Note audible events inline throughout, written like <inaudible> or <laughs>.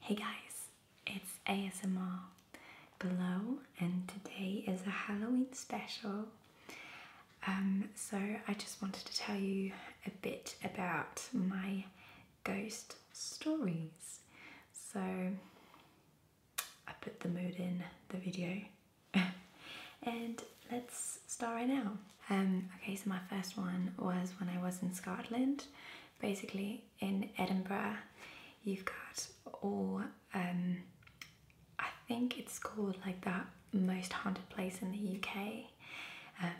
Hey guys, it's ASMR below, and today is a Halloween special. Um, so, I just wanted to tell you a bit about my ghost stories. So, I put the mood in the video, <laughs> and let's start right now. Um, okay, so my first one was when I was in Scotland. Basically, in Edinburgh, you've got all, um, I think it's called like that most haunted place in the UK. Um,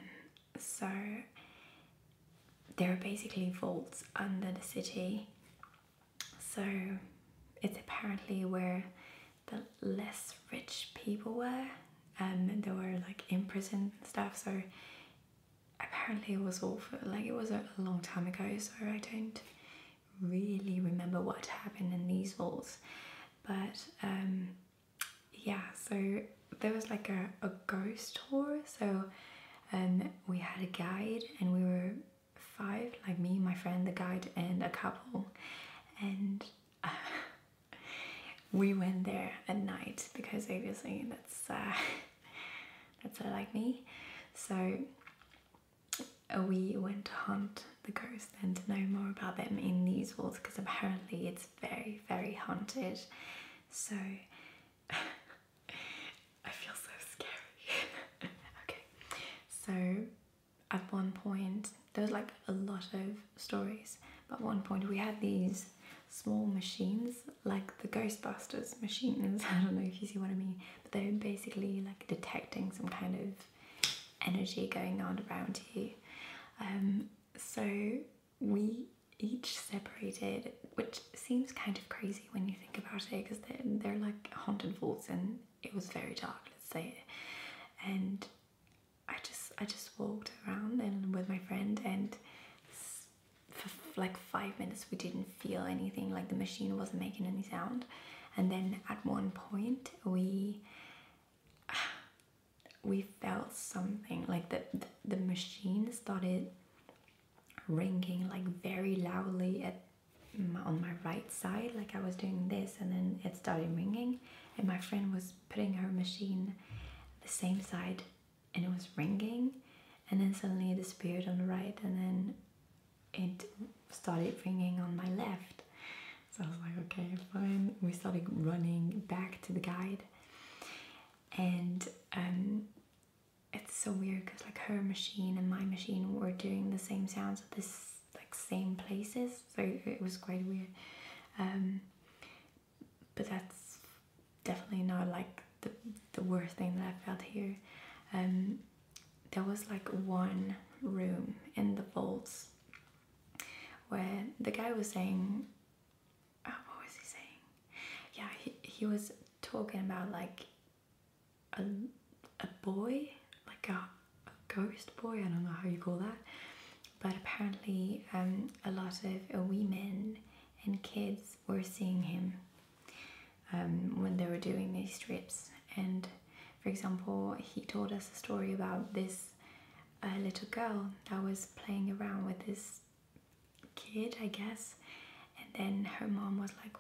so there are basically vaults under the city. So it's apparently where the less rich people were. Um, and they were like imprisoned and stuff. So apparently it was awful. Like it was a long time ago, so I don't really remember what happened in these halls. But um, yeah, so there was like a, a ghost tour. So um, we had a guide and we were five, like me, my friend, the guide, and a couple. And <laughs> we went there at night because obviously that's uh, <laughs> that's not like me. So we went to hunt the ghosts and to know more about them in these walls because apparently it's very, very haunted. So <laughs> I feel so scary. <laughs> okay, so at one point, there was like a lot of stories, but one point we had these small machines like the Ghostbusters machines. <laughs> I don't know if you see what I mean, but they're basically like detecting some kind of energy going on around you. Um, so we each separated, which seems kind of crazy when you think about it, because they're, they're like haunted vaults, and it was very dark. Let's say and I just I just walked around and with my friend and for like five minutes we didn't feel anything like the machine wasn't making any sound and then at one point we <sighs> we felt something like the, the, the machine started ringing like very loudly at my, on my right side like I was doing this and then it started ringing and my friend was putting her machine the same side and it was ringing and then suddenly it disappeared on the right and then it started ringing on my left so I was like okay fine we started running back to the guide and um, it's so weird because like her machine and my machine were doing the same sounds at this like same places so it was quite weird um, but that's definitely not like the, the worst thing that I have felt here. Um, there was like one room in the vaults where the guy was saying, oh, what was he saying? Yeah, he, he was talking about like a, a boy, like a, a ghost boy, I don't know how you call that. But apparently, um, a lot of women and kids friends were seeing him um, when they were doing these trips. And for example, he told us a story about this uh, little girl that was playing around with this kid, I guess. And then her mom was like,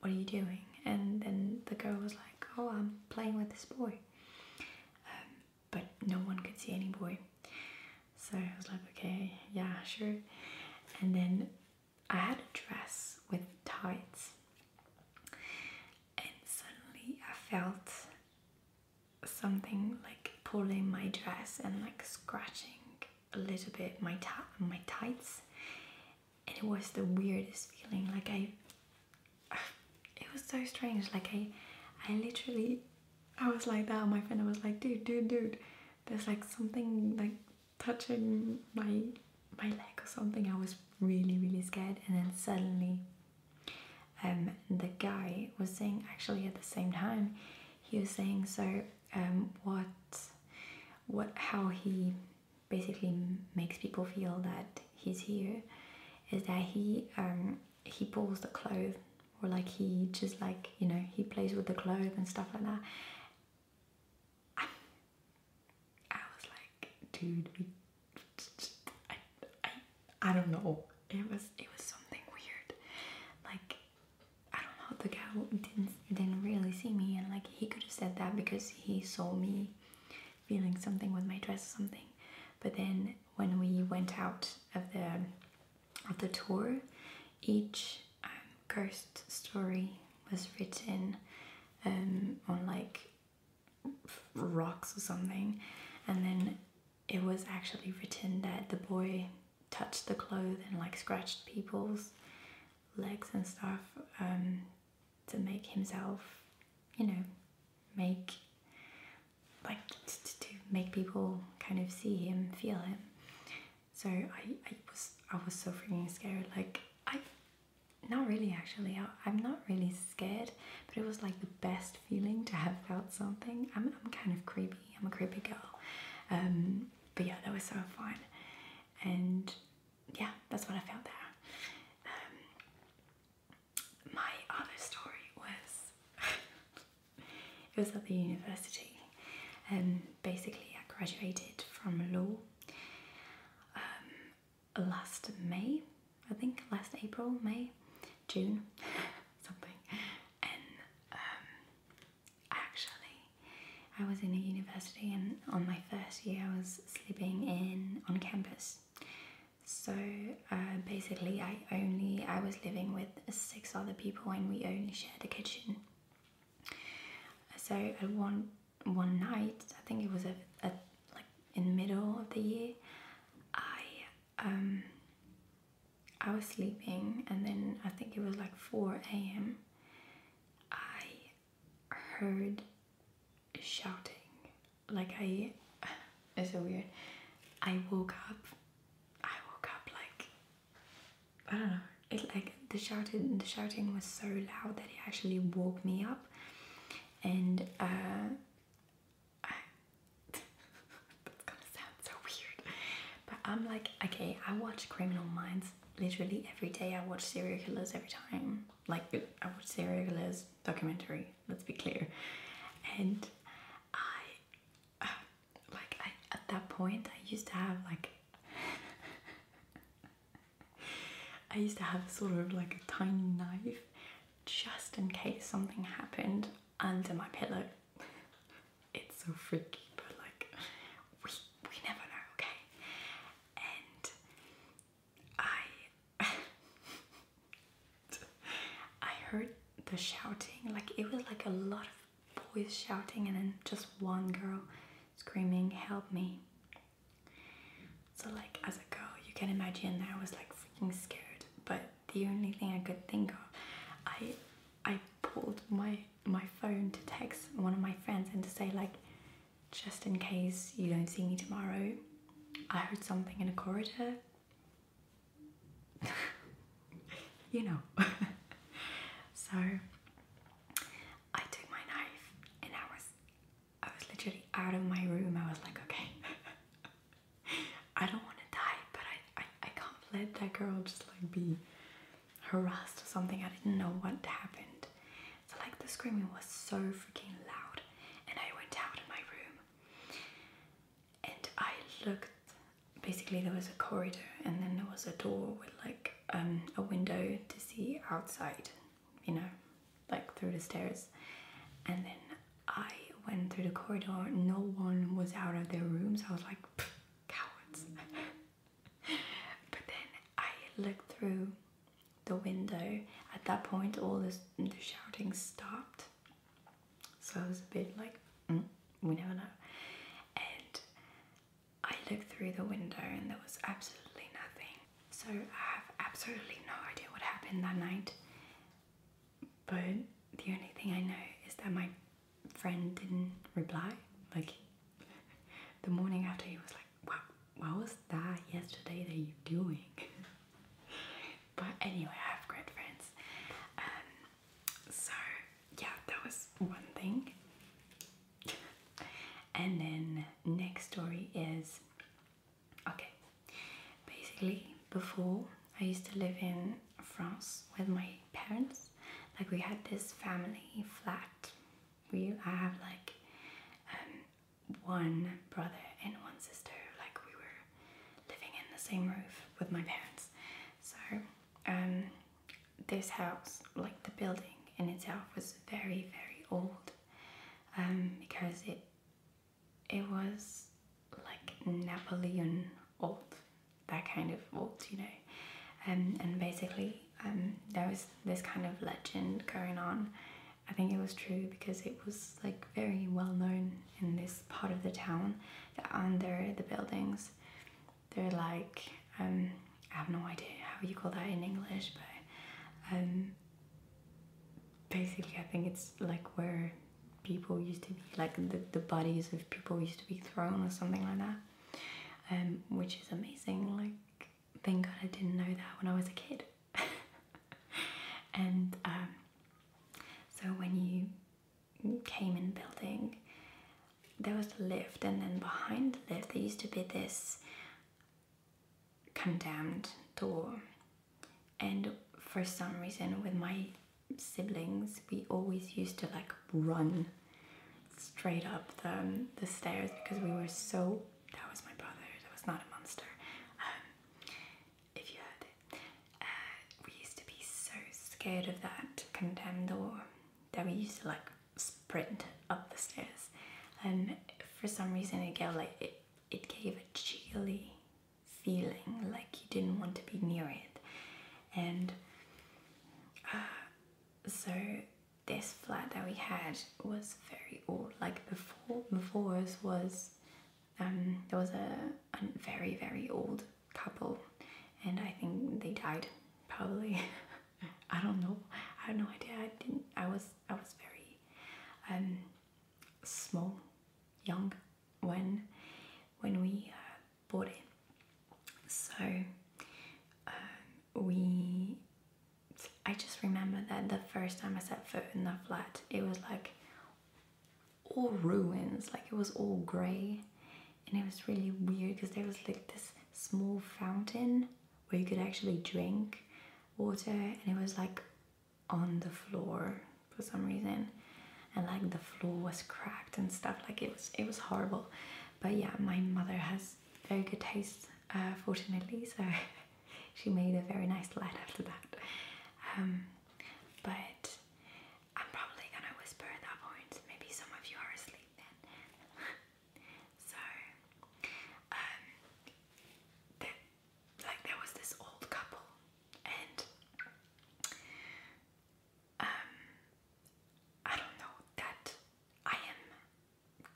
What are you doing? And then the girl was like, Oh, I'm playing with this boy. Um, but no one could see any boy. So I was like, okay, yeah, sure. And then I had a dress with tights, and suddenly I felt something like pulling my dress and like scratching a little bit my ta- my tights, and it was the weirdest feeling. Like I, <sighs> it was so strange. Like I, I literally I was like that. My friend was like, dude, dude, dude. There's like something like touching my my leg or something. I was really really scared, and then suddenly, um, the guy was saying actually at the same time, he was saying so um what what how he basically makes people feel that he's here is that he um he pulls the clothes or like he just like you know he plays with the clothes and stuff like that I, was like dude I, I, don't know it was it was something weird like I don't know the guy didn't didn't really see me and like he could have said that because he saw me feeling something with my dress or something but then when we went out of the of the tour, each um, ghost story was written um, on like rocks or something, and then it was actually written that the boy touched the clothes and like scratched people's legs and stuff um, to make himself, you know, make like to, make people kind of see him, feel him. So I, I was I was so freaking scared. Like I, not really actually. I, am not really scared, but it was like the best feeling to have felt something. I'm I'm kind of creepy. I'm a creepy girl. Um, but yeah, that was so fun, and yeah, that's what I felt there. Um, my other story was <laughs> it was at the university. and um, basically, I graduated from law um, last May, I think, last April, May, June, <laughs> something. And um, actually, I was in a university, and on my first year, I was sleeping in on campus. So uh, basically, I only I was living with six other people and we only share the kitchen. So one one night, I think it was a, like in the middle of the year, I um I was sleeping and then I think it was like four a.m. I heard shouting like I <sighs> it's so weird. I woke up I woke up like I don't know. It like the shouting the shouting was so loud that it actually woke me up, and uh, <laughs> that's gonna sound so weird, but I'm like, okay, I watch Criminal Minds literally every day. I watch serial killers every time. Like I watch serial killers documentary. Let's be clear, and I. Uh, like I at that point I used to have like I used to have sort of like a tiny knife just in case something happened under my pillow. It's so freaky, but like we we never know, okay? And I <laughs> I heard the shouting, like it was like a lot of boys shouting and then just one girl screaming help me so like as a girl you can imagine i was like freaking scared but the only thing i could think of i i pulled my my phone to text one of my friends and to say like just in case you don't see me tomorrow i heard something in a corridor <laughs> you know. <laughs> so I took my knife and I was I was literally out of my room. I was like, okay, <laughs> I don't want to die, but I, I, I can't let that girl just like be harassed or something. I didn't know what happened. So like the screaming was so freaking loud and I went out of my room and I looked. Basically, there was a corridor, and then there was a door with like um, a window to see outside, you know, like through the stairs. And then I went through the corridor. No one was out of their rooms. I was like, cowards. <laughs> but then I looked through the window. At that point, all the shouting stopped so I was a bit like, mm, we never know. And I looked through the window and there was absolutely nothing. So I have absolutely no idea what happened that night. But the only thing I know is that my friend didn't reply. Like <laughs> the morning after, he was like, what was that yesterday that you doing?" <laughs> but anyway, I have great friends. Um, so yeah, that was one thing. and then next story is okay. Basically, before I used to live in France with my parents. Like we had this family flat. We I have like um, one brother and one sister. Like we were living in the same roof with my parents. So um, this house, like the building in itself, was very, very old um, because it it was like Napoleon old, that kind of old, you know. Um, and basically, um, there was this kind of legend going on. I think it was true because it was like very well known in this part of the town under the buildings they're like, um, I have no idea how you call that in English, but um, basically, I think it's like where people used to be, like the, the bodies of people used to be thrown or something like that, um, which is amazing. Like, thank God I didn't know that when I was a kid. <laughs> and so when you came in building, there was a lift, and then behind the lift, there used to be this condemned door. And for some reason, with my siblings, we always used to like run straight up the, um, the stairs because we were so. That was my brother, that was not a monster. Um, if you heard uh, we used to be so scared of that condemned door that we used to like sprint up the stairs, and for some reason it gave like it, it gave a chilly feeling, like you didn't want to be near it, and uh, so this flat that we had was very old. Like before, before us was um, there was a very very old couple and I think they died probably <laughs> I don't know I have no idea I didn't I was I was very um, small young when when we uh, bought it so um, we I just remember that the first time I set foot in the flat it was like all ruins, like it was all grey. And it was really weird because there was like this small fountain where you could actually drink water and it was like on the floor for some reason and like the floor was cracked and stuff like it was it was horrible but yeah my mother has very good taste uh, fortunately so <laughs> she made a very nice light after that um, but I'm probably gonna whisper at that point. Maybe some of you are asleep then. <laughs> so, um, like there was this old couple, and um, I don't know that I am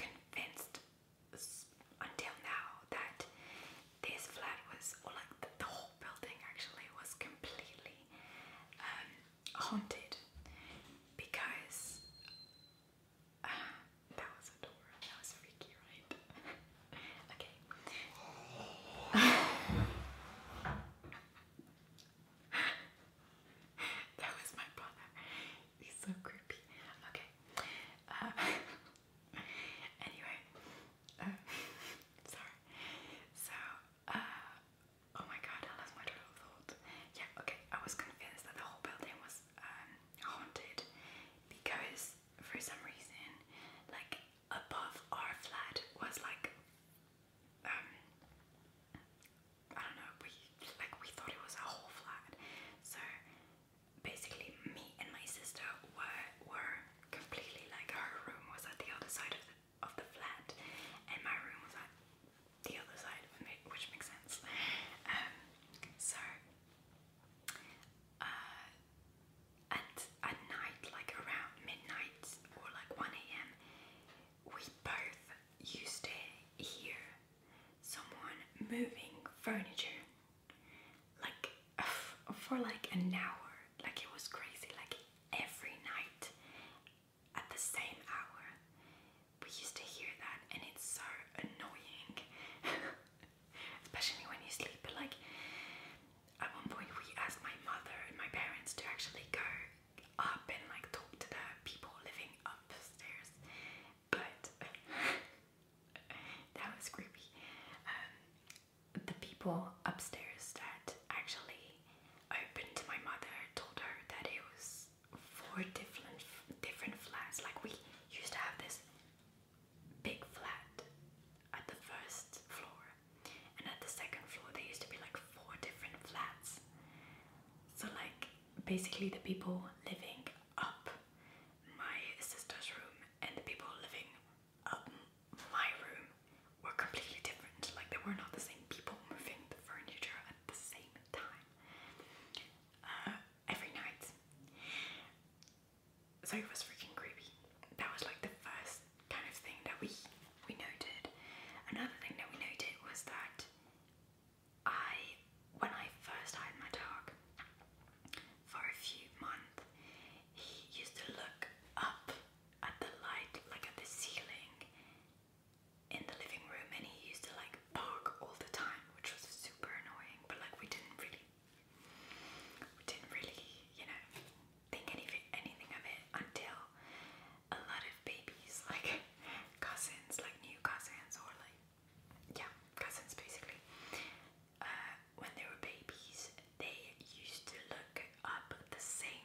convinced until now that this flat was, or like the whole building actually was completely um, haunted because uh, that was a That was freaky, right? <laughs> okay. <laughs> that was my brother. He's so creepy. Okay. Uh, <laughs> anyway, uh, sorry. So uh, oh my god, I lost my train of thought. Yeah, okay, I was convinced that the whole building was um, haunted because for some reason, like above our flat was like um I don't know, we like we thought it was a whole flat. So basically me and my sister were were completely like our room was at the other side of the of the flat, and my room was like the other side, which makes sense. Um, so, uh, at at night, like around midnight or like one a.m., we both used to hear someone moving furniture, like uh, for like an hour. Like it was crazy. Like every night at the same hour. We used to hear that, and it's so annoying, <laughs> especially when you sleep. like, at one point, we asked my mother and my parents to actually go up and like talk to the people living upstairs, but <laughs> that was creepy. Um, the people upstairs that actually opened to my mother told her that it was four different different flats. Like we used to have this big flat at the first floor, and at the second floor they used to be like four different flats. So like basically the people living up my sister's room and the people living um, my room were completely different. Like they were not the same people moving the furniture at the same time uh, every night. So it was freaking creepy. That was like the first kind of thing that we we noted. Another thing that we noted was that I, when I first had my dog, for a few months, he used to look up at the light, like at the ceiling in the living room, and he used to like bark all the time, which was super annoying. But like we didn't really, we didn't really, you know, think any anything of it until a lot of babies, <laughs> like cousins, like new cousins, or like yeah, cousins basically. Uh, when they were babies, they used to look up the same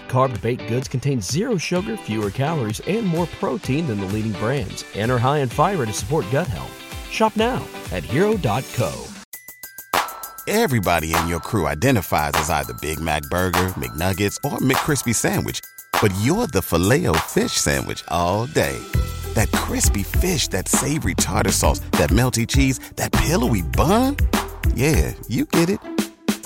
carb baked goods contain zero sugar, fewer calories, and more protein than the leading brands, and are high in fiber to support gut health. Shop now at hero.co. Everybody in your crew identifies as either Big Mac Burger, McNuggets, or McKrispy Sandwich, but you're the filet fish Sandwich all day. That crispy fish, that savory tartar sauce, that melty cheese, that pillowy bun. Yeah, you get it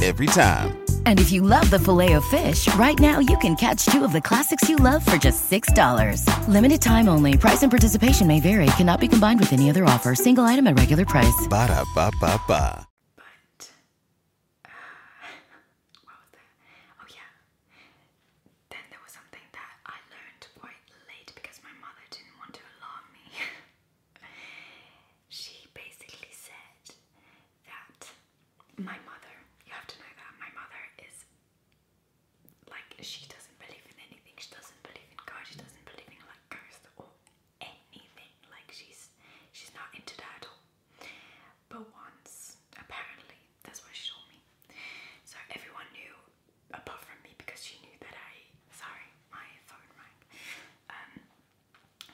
every time. And if you love the filet of fish, right now you can catch two of the classics you love for just $6. Limited time only. Price and participation may vary. Cannot be combined with any other offer. Single item at regular price. Ba da ba ba ba. But, <sighs> Oh, yeah. Then there was something that I learned quite late because my mother didn't want to alarm me. <laughs> she basically said that my mother, you have to know that my mother is like, she doesn't believe in anything, she doesn't believe in God, she doesn't believe in like ghosts or anything, like she's, she's not into that at all. But once, apparently, that's why she told me. So everyone knew, apart from me, because she knew that I, sorry, my phone rang. Um,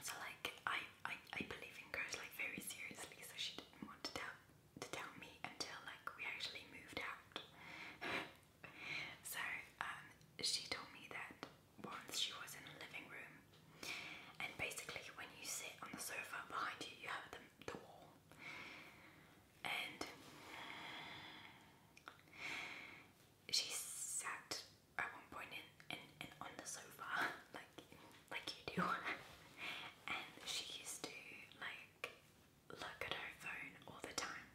so like I, I I believe in ghosts like very seriously. So she didn't want to tell to tell me until like we actually moved out. <laughs> so um, she told me that once she was in a living room, and basically when you sit on the sofa behind you, you have the the wall, and she sat at one point in, in, in on the sofa, <laughs> like like you do, <laughs> and she used to like look at her phone all the time.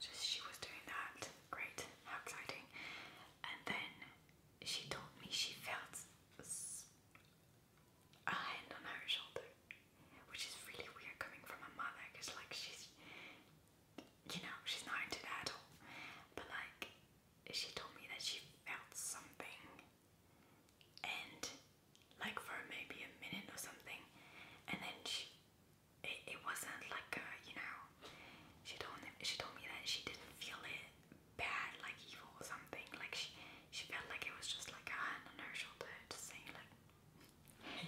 Just she was doing that. Great, how exciting! And then she told me she felt a hand on her shoulder, which is really weird coming from a mother, because like she's you know, she's not into that at all. But like, she told me that she felt something, and like for maybe a minute or something, and then she, it, wasn't like a, you know, she told me, she told me that she didn't feel it bad, like evil or something. Like she, she felt like it was just like a hand on her shoulder, just saying like, <laughs> hey,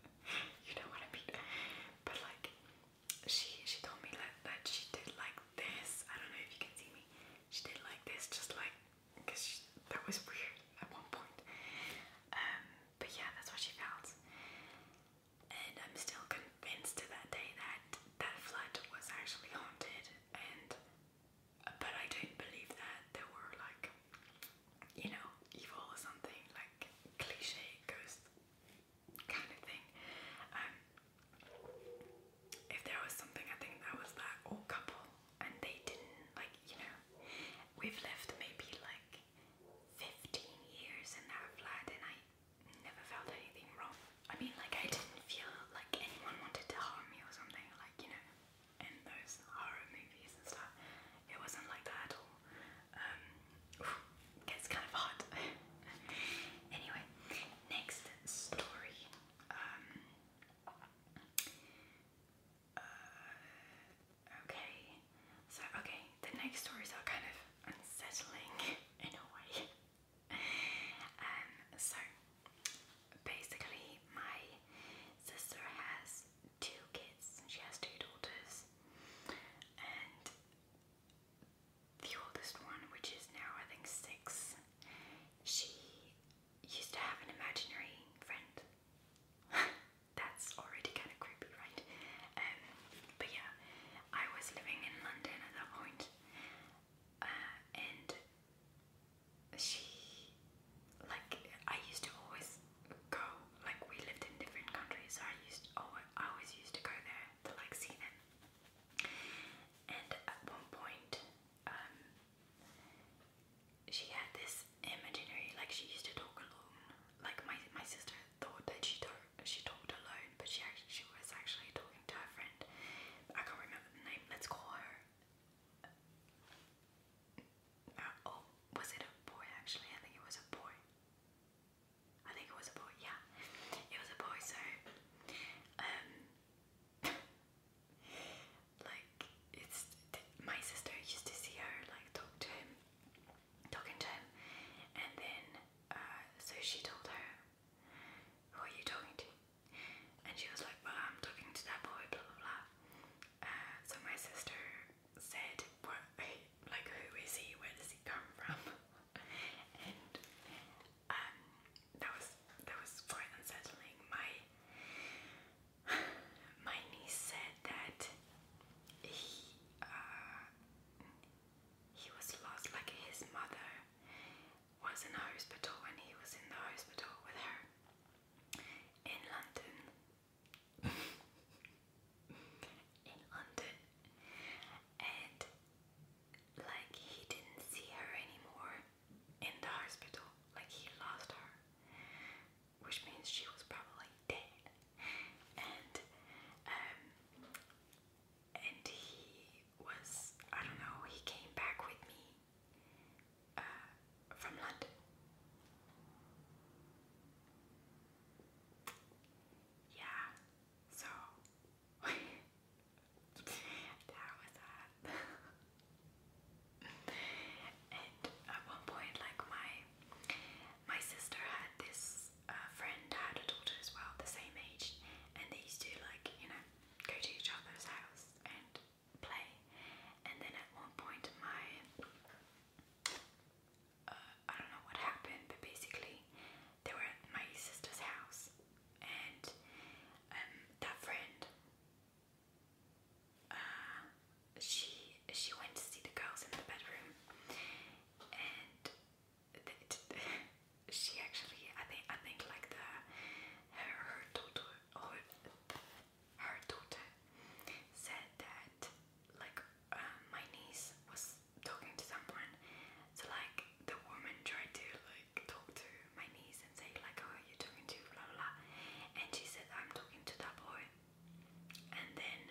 <laughs> you know what I mean. But like, she she told me that, that she did like this. I don't know if you can see me. She did like this, just like because she that was weird at one point. Um, but yeah, that's what she felt, and I'm still convinced to that day that that flat was actually haunted. And but I don't believe that there were like you know evil or something like cliche ghosts kind of thing. Um, if there was something, I think that was that old couple, and they didn't like, you know, we've lived maybe like 15 years in that flat, and I never felt anything wrong. I mean, like, I didn't feel like anyone wanted to harm me or something, like, you know, in those horror movies and stuff. It wasn't like that at all gets um, kind of hot. <laughs> anyway, next story. Um, uh, okay, so okay, the next stories are kind of unsettling <laughs> in a way. Um, so basically, my sister has two kids. She has two daughters, and the oldest one, which is now I think six, she used to have an imaginary friend. <laughs> That's already kind of creepy, right? Um, but yeah, I was living in London at that uh, and she, like, I used to always go like we lived in different countries, so I used always, oh, I always used to go there to like see them. And at one point, um, she had this imaginary, like she used to talk alone. Like my my sister thought that she talk, she talked alone, but she actually she was actually talking to her friend. I can't remember the name. Let's call her. Uh, oh, was it a boy? Actually, I think it was a boy. I think it was a boy, yeah. It was a boy, so um <laughs> like it's my sister used to see her like talk to him talking to him and then uh so she told her who are you talking to? And she was like, Well I'm talking to that boy, blah blah blah. Uh, so my sister said, what, like, who is he? Where does he come from? <laughs> and um, that was that was quite unsettling. My my niece said that he uh, he was lost. Like his mother was in hospital, and he was in the hospital with her in London in London and like he didn't see her anymore in the hospital. Like he lost her. Which means she was probably dead. And um and he was I don't know, he came back with me uh, from London yeah, so <laughs> that was that. Um, and at one point, like my my sister had this uh, friend had a daughter as well, the same age, and they used to like you know go to each other's house and play. And then at one point, my uh, I don't know what happened, but basically they were at my sister's house, and um, that friend, uh, she she went to see the girls in the bedroom, and <laughs> she actually I think I think like the her her daughter her daughter said that like uh, my niece was talking to someone, so like the woman tried to like talk to my niece and say like, "Oh, you're talking to blah blah,", and she said, "I'm talking to that boy," and then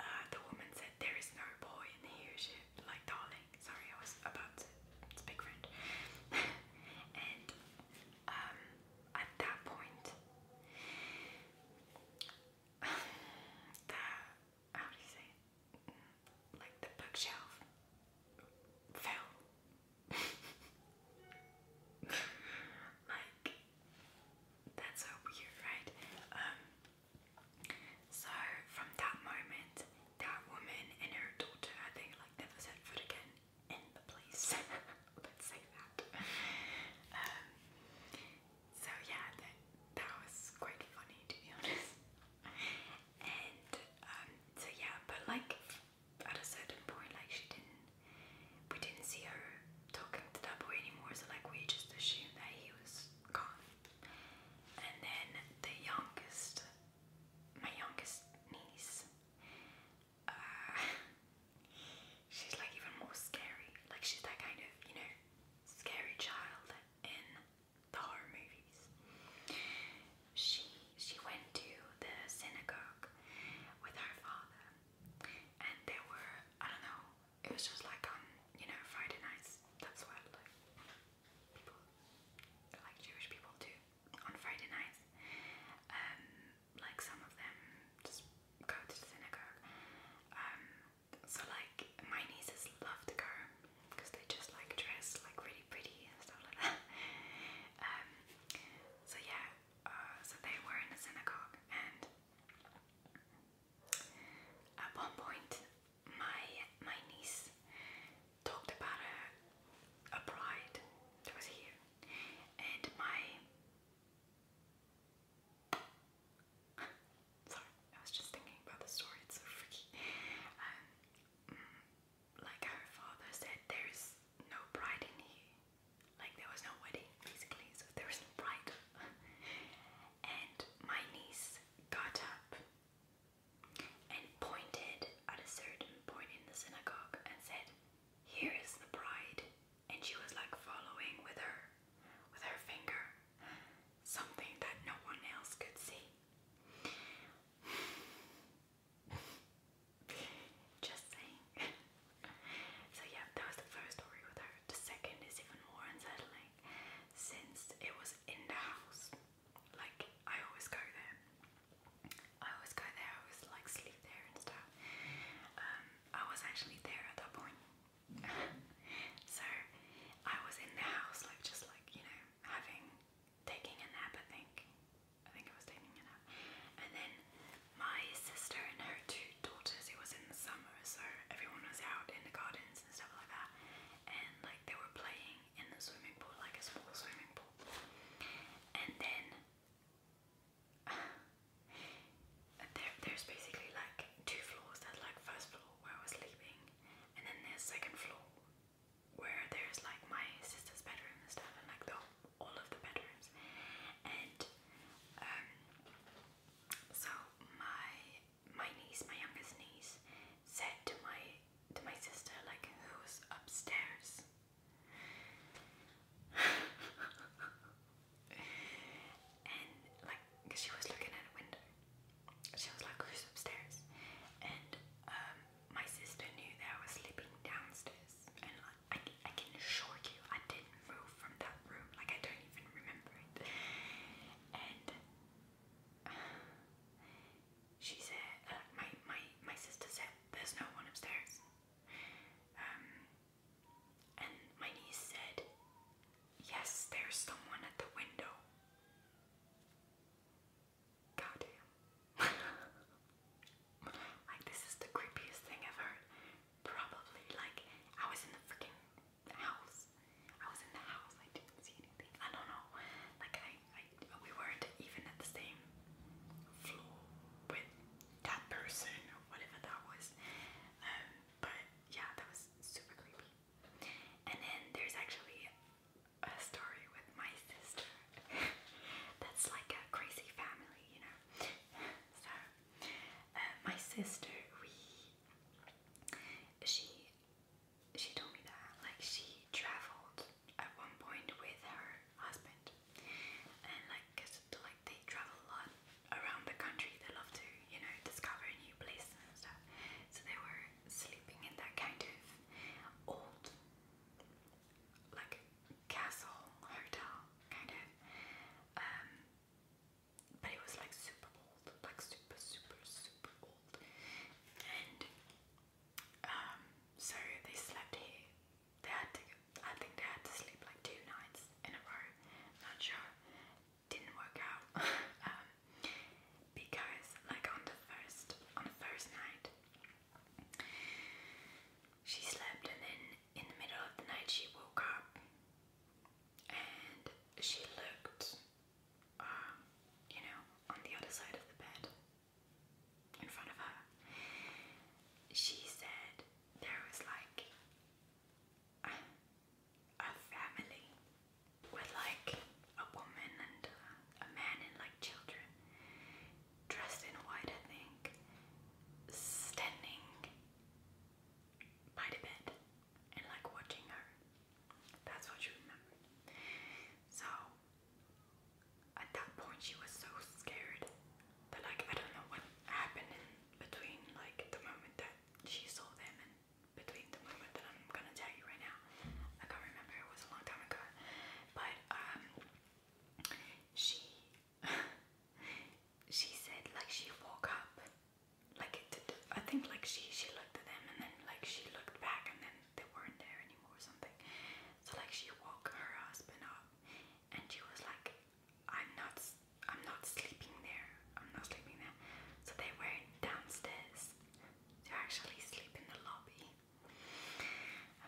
uh, the woman said, "There is no boy in here." She like, "Darling, sorry, I was about to speak French," <laughs> and um, at that point. <sighs> how do you say it? Like the bookshelf fell. <laughs> like that's so weird, right? Um so from that moment that woman and her daughter I like never set foot again in the place. <laughs> Let's say that. Um, so yeah, that that was quite funny to be honest. and um, so yeah, but like at a certain point, like she didn't, we didn't see her talking to that boy anymore. So like we just assumed that he was gone. And then the youngest, my youngest niece, uh, <laughs> she's like even more scary. Like she's that kind of you know scary child in the horror movies. She she went to the synagogue with her father, and there were I don't know. It was just like on you know Friday nights. That's what like people like Jewish people do on Friday nights. Um, like some of them just go to the synagogue. Um, so like my nieces love to go because they just like dress like really pretty and stuff like that. <laughs> um, so yeah, uh, so they were in a synagogue and at one point my my niece talked about a a bride that was here and my Sorry, I was just thinking about the story, it's so freaky. Um, like her father said, there is no bride in here. Like there was no wedding, basically, so there no bride. and my niece got up and pointed at a certain point in the synagogue and said, Here is the bride. And she was like following with her, with her finger something that no one else could see. Just saying. so, yeah, that was the first story with her. The second is even more unsettling since it was in the house. Like, I always go there. I always go there, I always like sleep there and stuff. Um, I was actually there at that point <laughs> so I was in the house, like just like you know, having taking a nap. I think, I think I was taking a nap, and then my sister and her two daughters. It was in the summer, so everyone was out in the gardens and stuff like that, and like they were playing in the swimming pool, like a small swimming pool, and then. <sighs> And there, there's basically like two floors. That like first floor where I was sleeping, and then there's second floor where there's like my sister's bedroom and stuff, and like the, all of the bedrooms. And um, so my my niece, my youngest niece, said to my to my sister like, "Who's upstairs?" and like cause she was looking at a window. She was like, who's upstairs? And um, my sister knew that I was sleeping downstairs, and I, I can assure you, I didn't move from that room. Like I don't even remember it. And <sighs> she said, uh, my my my sister said, there's no one upstairs. Um, and my niece said, Yes, there's someone at the window. Goddamn. <laughs> like, this is the creepiest thing I've heard. Probably, like, I was in the freaking house. I was in the house, I didn't see anything. I don't know. Like, I, we weren't even at the same floor with that person or whatever that was. Um, but yeah, that was super creepy. And then there's actually a story with my sister <laughs> that's like a crazy family, you know. so uh, my sister, we she she told me that like she traveled at one point with her husband, and like cause, like they travel a lot around the country. They love to, you know, discover new places and stuff. So they were sleeping in that kind of old, like castle hotel kind of. Um, but it was like super old, like super, super, super old. And um, so they slept here. They had to. I think they had to sleep like two nights in a row. Not sure didn't work out <laughs> um, because, like on the first on the first night, she slept, and then in the middle of the night she woke up, and she looked, um, you know, on the other side of the bed, in front of her. She said there was like a family with like a woman and a man and like children dressed in white, I think, standing by the bed and like watching her. That's what she remembered. So at that point, she was so scared that, like, I don't know what happened between, like, the moment that she saw them and between the moment that I'm gonna tell you right now. I can't remember, it was a long time ago. But um she <laughs> she said like she woke up like it I think like she she looked at them and then like she looked back and then they weren't there anymore or something. So like she woke her husband up and she was like I'm not I'm not sleeping there. I'm not sleeping there. So they were downstairs. They actually sleep in the lobby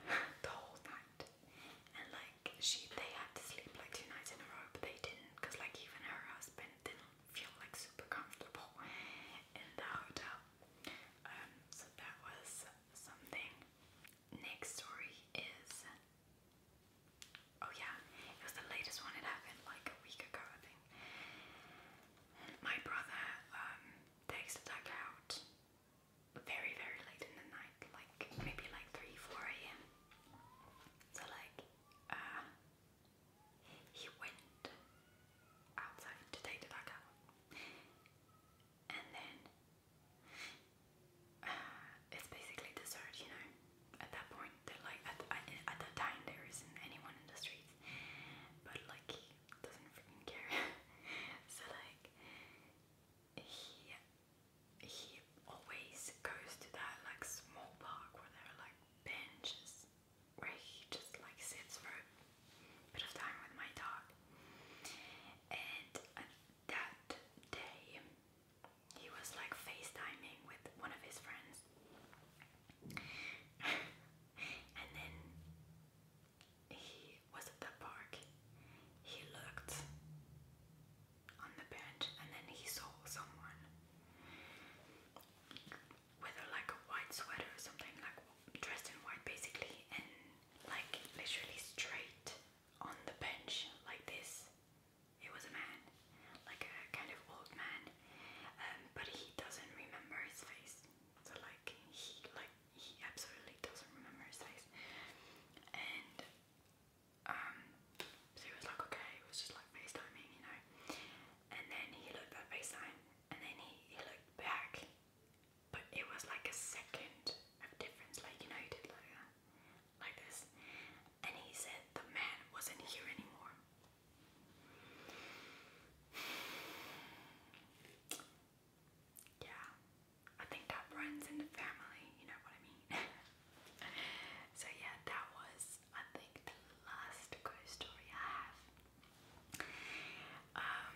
<laughs> the whole night. And like she they had to sleep like two nights in a row, but they didn't because like even her husband didn't feel like super comfortable in the hotel. Um so that was something. Next story is Oh yeah, it was the latest one. It happened like a week ago, I think. My brother um, takes out very, very late in the night, like maybe like three, four a.m. So like, uh, he went outside to take the dog out, and then. Uh, it's basically dessert, you know. At that point, like at at that time there isn't anyone in the streets, but like doesn't freaking care. <laughs> so like he he always goes to that like small park where there are like benches where he just like sits for a bit of time with my dog, and uh, that day he was like FaceTiming with one of his friends. <laughs> and then he was at the park. He looked on the bench and then he saw someone with like a white sweater or something, like dressed in white basically, and like literally straight on the bench like this. It was a man, like a kind of old man, um, but he doesn't remember his face. So like he like he absolutely doesn't remember his face. And um, so he was like, okay, it was just like FaceTiming, you know. And then he looked at FaceTime, and then he, he looked back, but it was like a second of difference, like you know, he did like this, and he said the man wasn't here anymore. <sighs> Yeah, I think that runs in the family, you know what I mean? <laughs> so, yeah, that was, I think, the last ghost story I have. Um,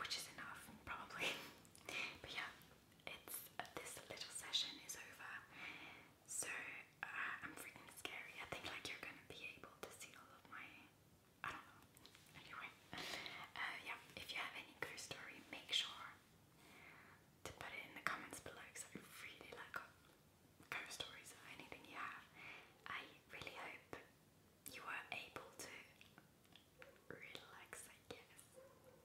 which is enough, probably. <laughs> but yeah, it's this little session is over. So uh, I'm freaking scary. I think like you're gonna be able to see all of my. I don't know. Anyway, uh, yeah. If you have any ghost story, make sure to put it in the comments below because I really like ghost stories anything you have. I really hope you were able to relax. I guess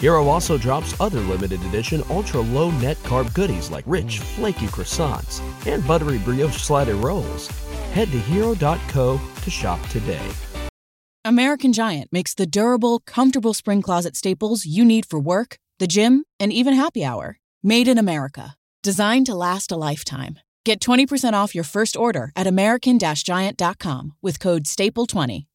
Hero also drops other limited edition ultra low net carb goodies like rich, flaky croissants and buttery brioche slider rolls. Head to hero.co to shop today. American Giant makes the durable, comfortable spring closet staples you need for work, the gym, and even happy hour. Made in America, designed to last a lifetime. Get 20% off your first order at American Giant.com with code STAPLE20.